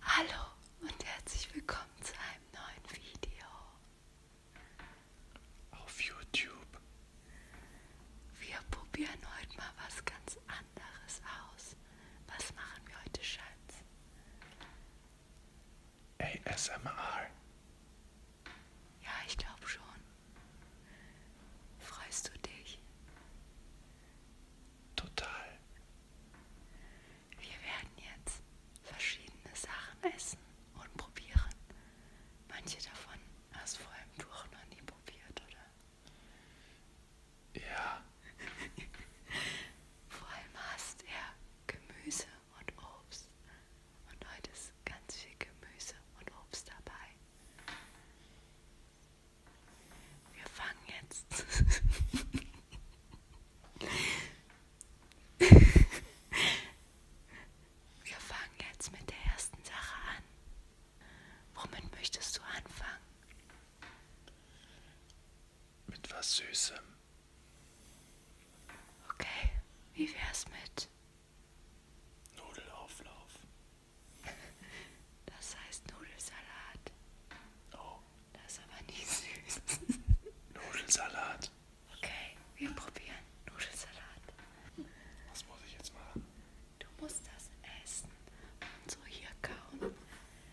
Hallo und herzlich willkommen zu einem neuen Video. Auf YouTube. Wir probieren heute mal was ganz anderes aus. Was machen wir heute, Schatz? ASMR. Ja, ich glaube schon. Freust du dich? Total. Wir werden jetzt verschiedene Sachen essen und probieren. Manche davon hast du vor allem Tuch noch nie probiert, oder? Ja. vor allem hast er ja, Gemüse und Obst. Und heute ist ganz viel Gemüse und Obst dabei wir fangen jetzt. wir fangen jetzt mit der ersten Sache an. Womit möchtest du anfangen? Mit was Süßem. Okay, wie wär's mit? Nudelauflauf. Das heißt Nudelsalat. Oh. Das ist aber nicht süß. Nudelsalat. Okay, wir probieren Nudelsalat. Was muss ich jetzt machen? Du musst das essen und so hier kauen.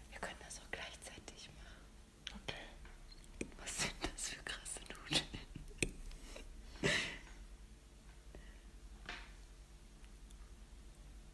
Wir können das auch gleichzeitig machen. Okay. Was sind das für krasse Nudeln?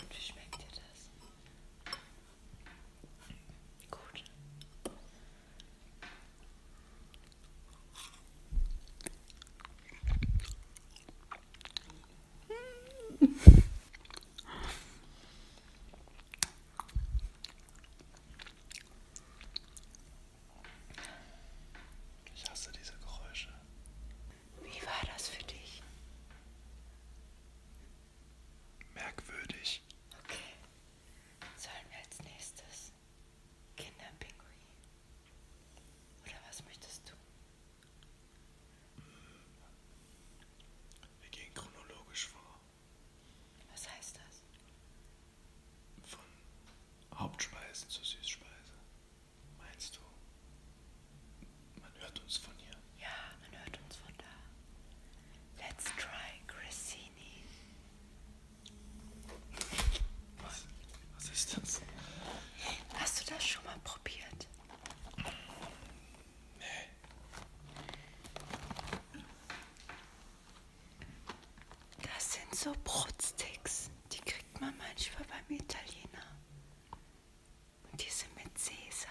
Und wie schmeckt dir das? Gut. Ich hasse diese Geräusche. Wie war das für dich? Merkwürdig. Okay. Sollen wir als nächstes Kinderpinguin? Oder was möchtest du? Wir gehen chronologisch vor. Was heißt das? Von Hauptspeisen zu Süßspeise. Meinst du, man hört uns von hier? Ja, man hört uns von da. Let's try Grissini. Was, was ist das? Hast du das schon mal probiert? Nee. Das sind so Brotsticks. Die kriegt man manchmal beim Italiener. Und diese mit Sesam.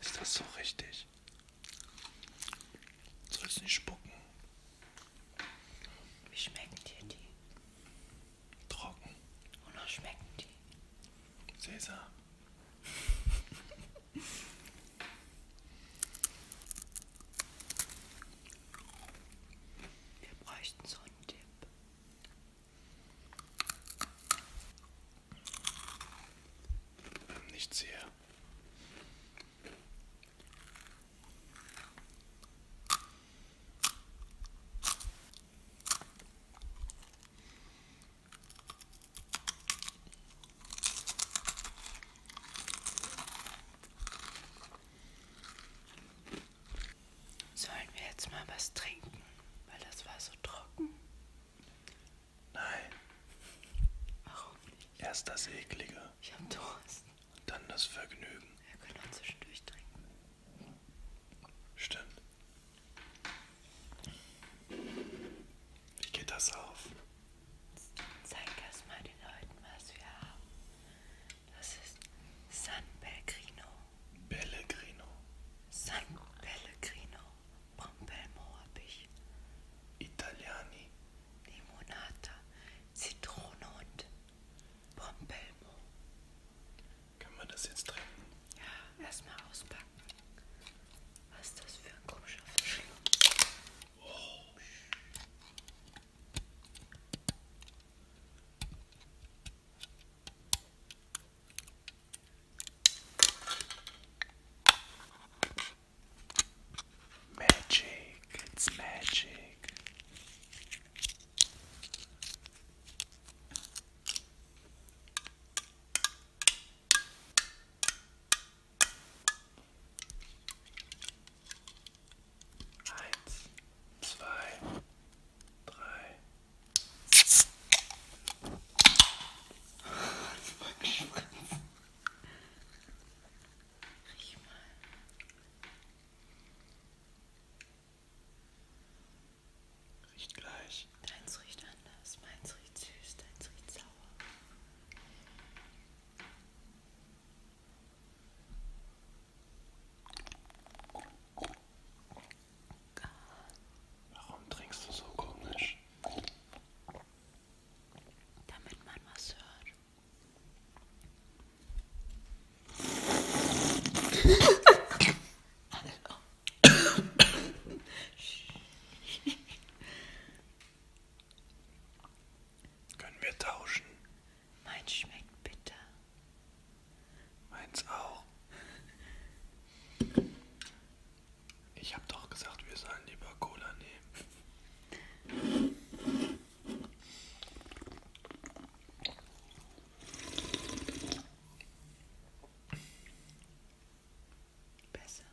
Ist das so richtig? Sollst nicht spucken. Wie schmecken dir die? Trocken. Wonach schmecken die? Sesam. Wir bräuchten so einen Tipp. Nichts hier. Sollen wir jetzt mal was trinken? Weil das war so trocken. Nein, Warum nicht? erst das Eklige, Ich hab Durst. dann das Vergnügen. Wir können auch zwischendurch trinken. Stimmt. Wie geht das auf? Zeig erstmal den Leuten, was wir haben. Das ist San Pellegrino. Pellegrino. San Pellegrino. Pompelmo hab ich. Italiani. Limonata. Zitrone und Pompelmo. Können wir das jetzt trinken? Ja, erstmal auspacken. Was ist das für ein komischer Verschluss? Oh. Magic, it's magic. Eins, zwei, drei. Das war Geschmack. Riech mal. Riecht gleich riecht, deins riecht anders, meins riecht süß, deins riecht sauer. Warum trinkst du so komisch? Damit man was hört. Hallo. Können wir tauschen? Meins schmeckt bitter. Meins auch. Ich habe doch gesagt, wir sollen lieber Cola nehmen. Besser.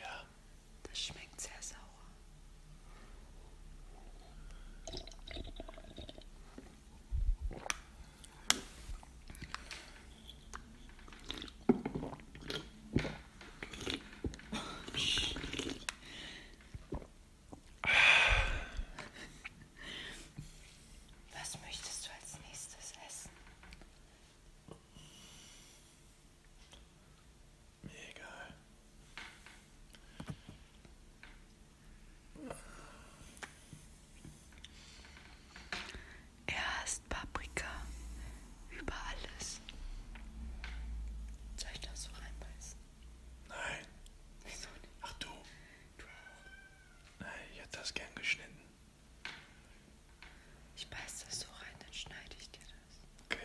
Ja. Das schmeckt sehr sauer. Was möchtest du als nächstes essen? Mir egal. Er hasst Paprika über alles. Soll ich das so reinbeißen? Nein. Wieso nicht? Ach du. Du auch. Nein, ich hätte das gern geschnitten. Ich beiß das so rein, dann schneide ich dir das. Okay.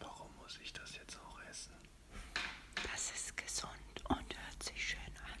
Warum muss ich das jetzt auch essen? Das ist gesund und hört sich schön an.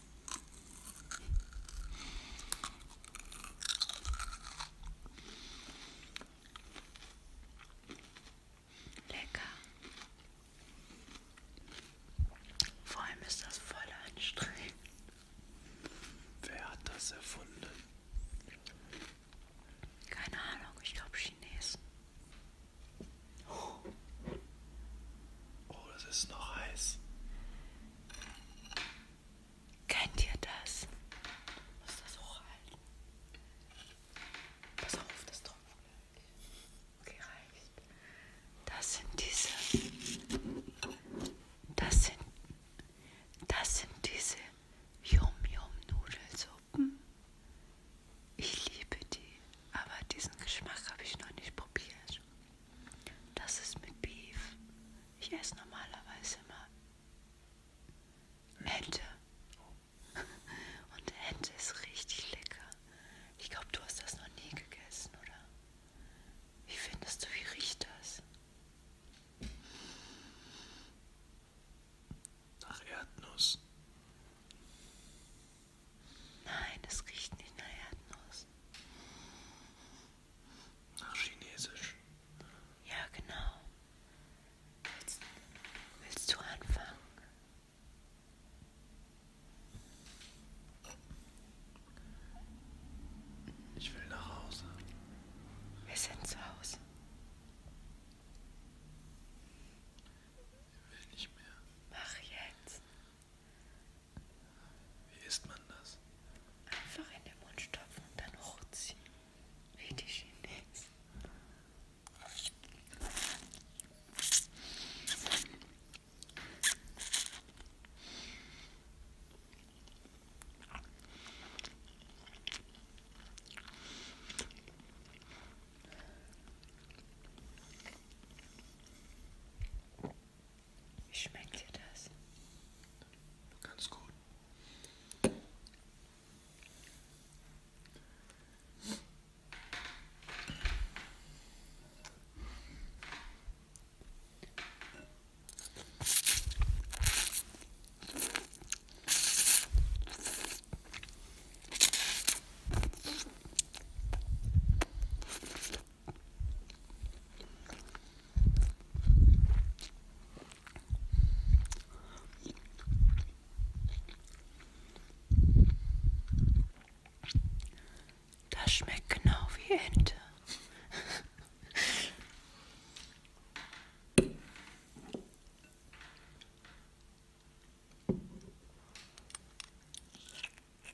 Lecker. Vor allem ist das voll anstrengend. Wer hat das erfunden? Keine Ahnung, ich glaube Chinesen. Oh, das ist noch heiß. Kennt ihr das? Ich muss das hochhalten. Pass auf, das Tropfen. Okay, reicht. Das sind diese. Das sind. Das sind diese Yum-Yum-Nudelsuppen. Ich liebe die, aber diesen Geschmack habe ich noch nicht probiert. Das ist mit Beef. Ich esse normalerweise immer mhm. Ente. Und Ente ist richtig lecker. Ich glaube, du hast das noch nie gegessen, oder? Wie findest du, wie riecht das? Nach Erdnuss. Nein, es riecht nicht nach Erdnuss. Nach Chinesisch. Ja, genau. Willst, willst du anfangen? Ich will nach Hause. Wir sind zu Hause. Ich will nicht mehr. Mach jetzt. Wie isst man das? Einfach in den Mund stopfen und dann hochziehen. Wie die Chinesen. Wie schmeckt dir das? Ganz gut. Das schmeckt genau wie Ente.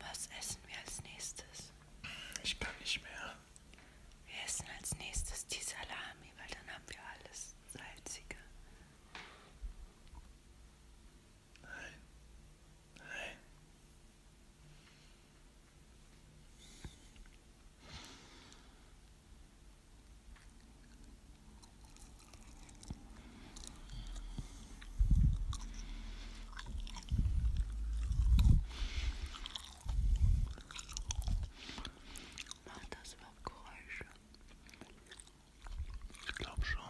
Was essen wir als nächstes? Ich kann nicht mehr. Wir essen als nächstes die Salami, weil dann haben wir alles Salzige. Nein. Nein. Macht das überhaupt Geräusche? Ich glaube schon.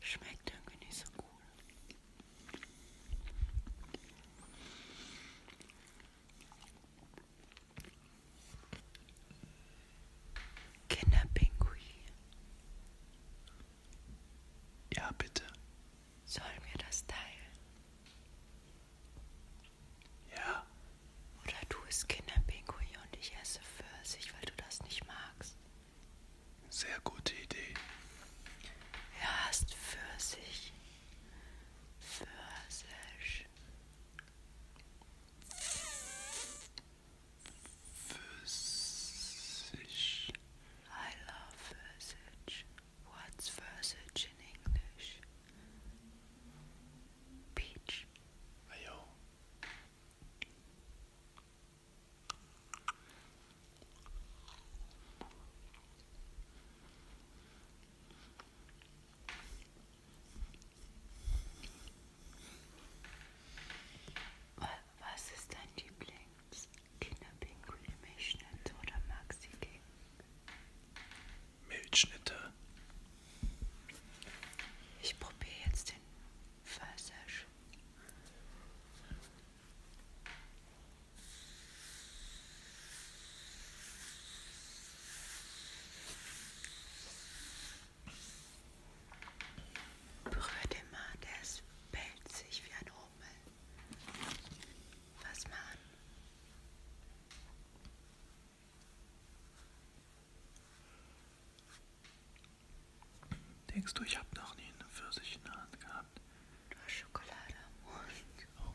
Schmeckt irgendwie nicht so gut. Kinderpinguin. Ja, bitte. Soll mir das teilen? Ja. Oder du isst Kinderpinguin und ich esse Pfirsich, weil du das nicht magst. Sehr gute Idee. Er hasst Pfirsich. fazes versage I love versage what's versage in English peach Ayo. Was ist dein Lieblings? Kinderpinguin, Milchschnitte oder Maxi King? Milchschnitte. Ich probiere jetzt den Pfirsich. Berühr den mal, der ist pelzig wie ein Hummel. Fass mal an. Denkst du, ich habe noch nie eine Pfirsich in der Hand gehabt? Du hast Schokolade am Mund. Oh.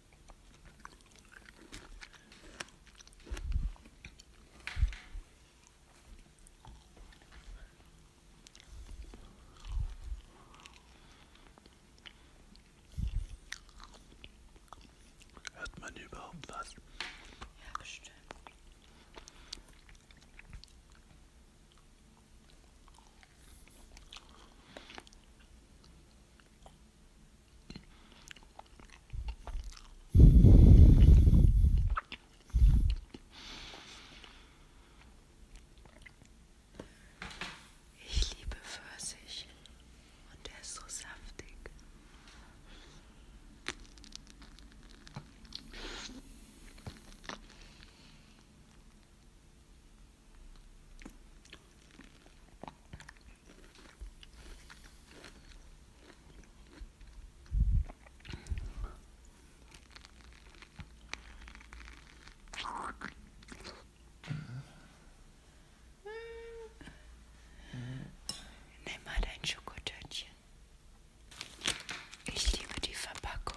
Hört man überhaupt was? Ja, bestimmt. Ich liebe Pfirsich und er ist so saftig. Nimm mal dein Schokotötchen. Ich liebe die Verpackung.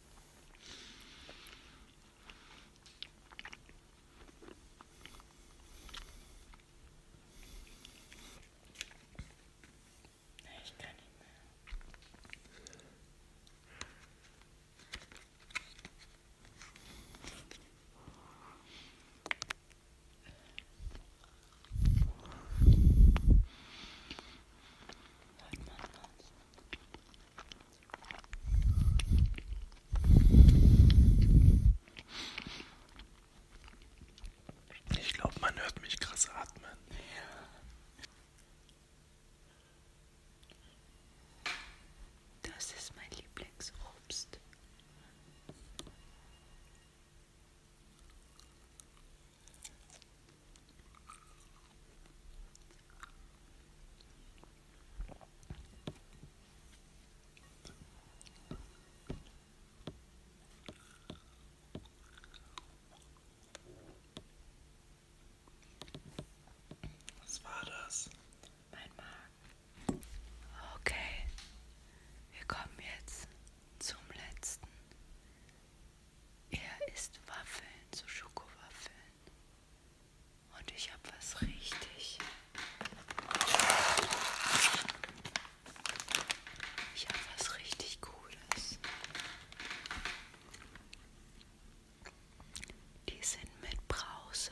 Ich kann nicht mehr. Heute machen wir uns ich glaube, man hört mich krass atmen. Das ist mein Lieblingsobst. Was war das? Mein Magen. Okay, wir kommen jetzt zum letzten er isst Waffeln, so Schokowaffeln. Und ich habe was richtig. Ich habe was richtig Cooles. Die sind mit Brause.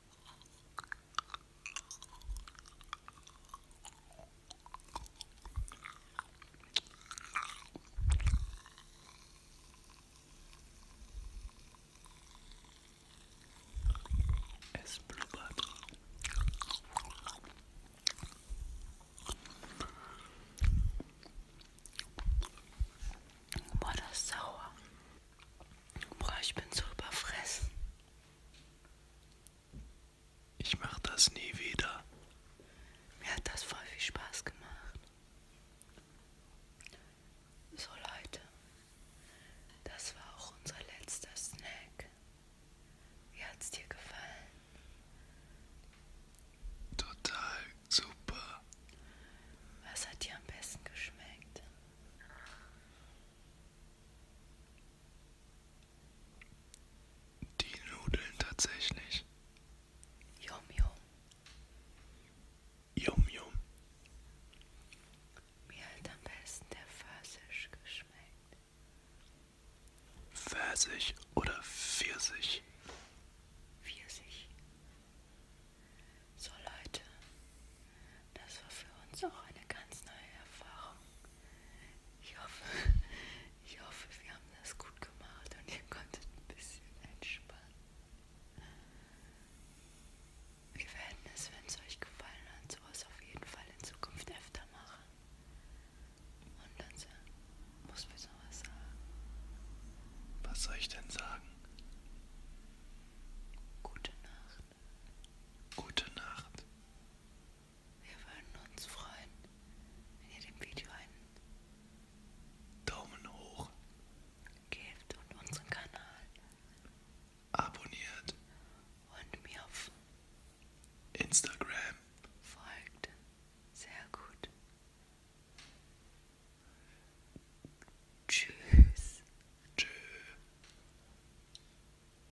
Es blubbert. Boah, das ist sauer. Boah, ich bin so überfressen. Ich mache das nie wieder. Mir hat das voll viel Spaß gemacht. So Leute, das war auch unser letzter Snack. Wie hat's dir gefallen? Total super. Was hat dir am besten geschmeckt? Die Nudeln tatsächlich. Yum yum. Yum yum. Mir hat am besten der Pfirsich geschmeckt. Pfirsich oder Pfirsich? Pfirsich. So Leute, das war für uns auch eine ganz neue Erfahrung. Ich hoffe, ich hoffe wir haben das gut gemacht und ihr konntet ein bisschen entspannen. Wir werden es, wenn es euch gefallen hat, sowas auf jeden Fall in Zukunft öfter machen. Und dann muss mir sowas sagen. Was soll ich denn sagen? Gute Nacht. Gute Nacht. Wir würden uns freuen, wenn ihr dem Video einen Daumen hoch gebt und unseren Kanal abonniert und mir auf Instagram folgt. Sehr gut. Tschüss. Tschö.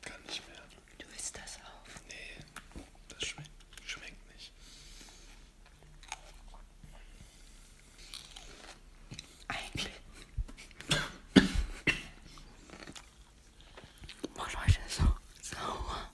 Kann nicht mehr. Du isst das auf? Nee, das schmeckt, schmeckt nicht. Eigentlich. Boah, Leute, so sauer.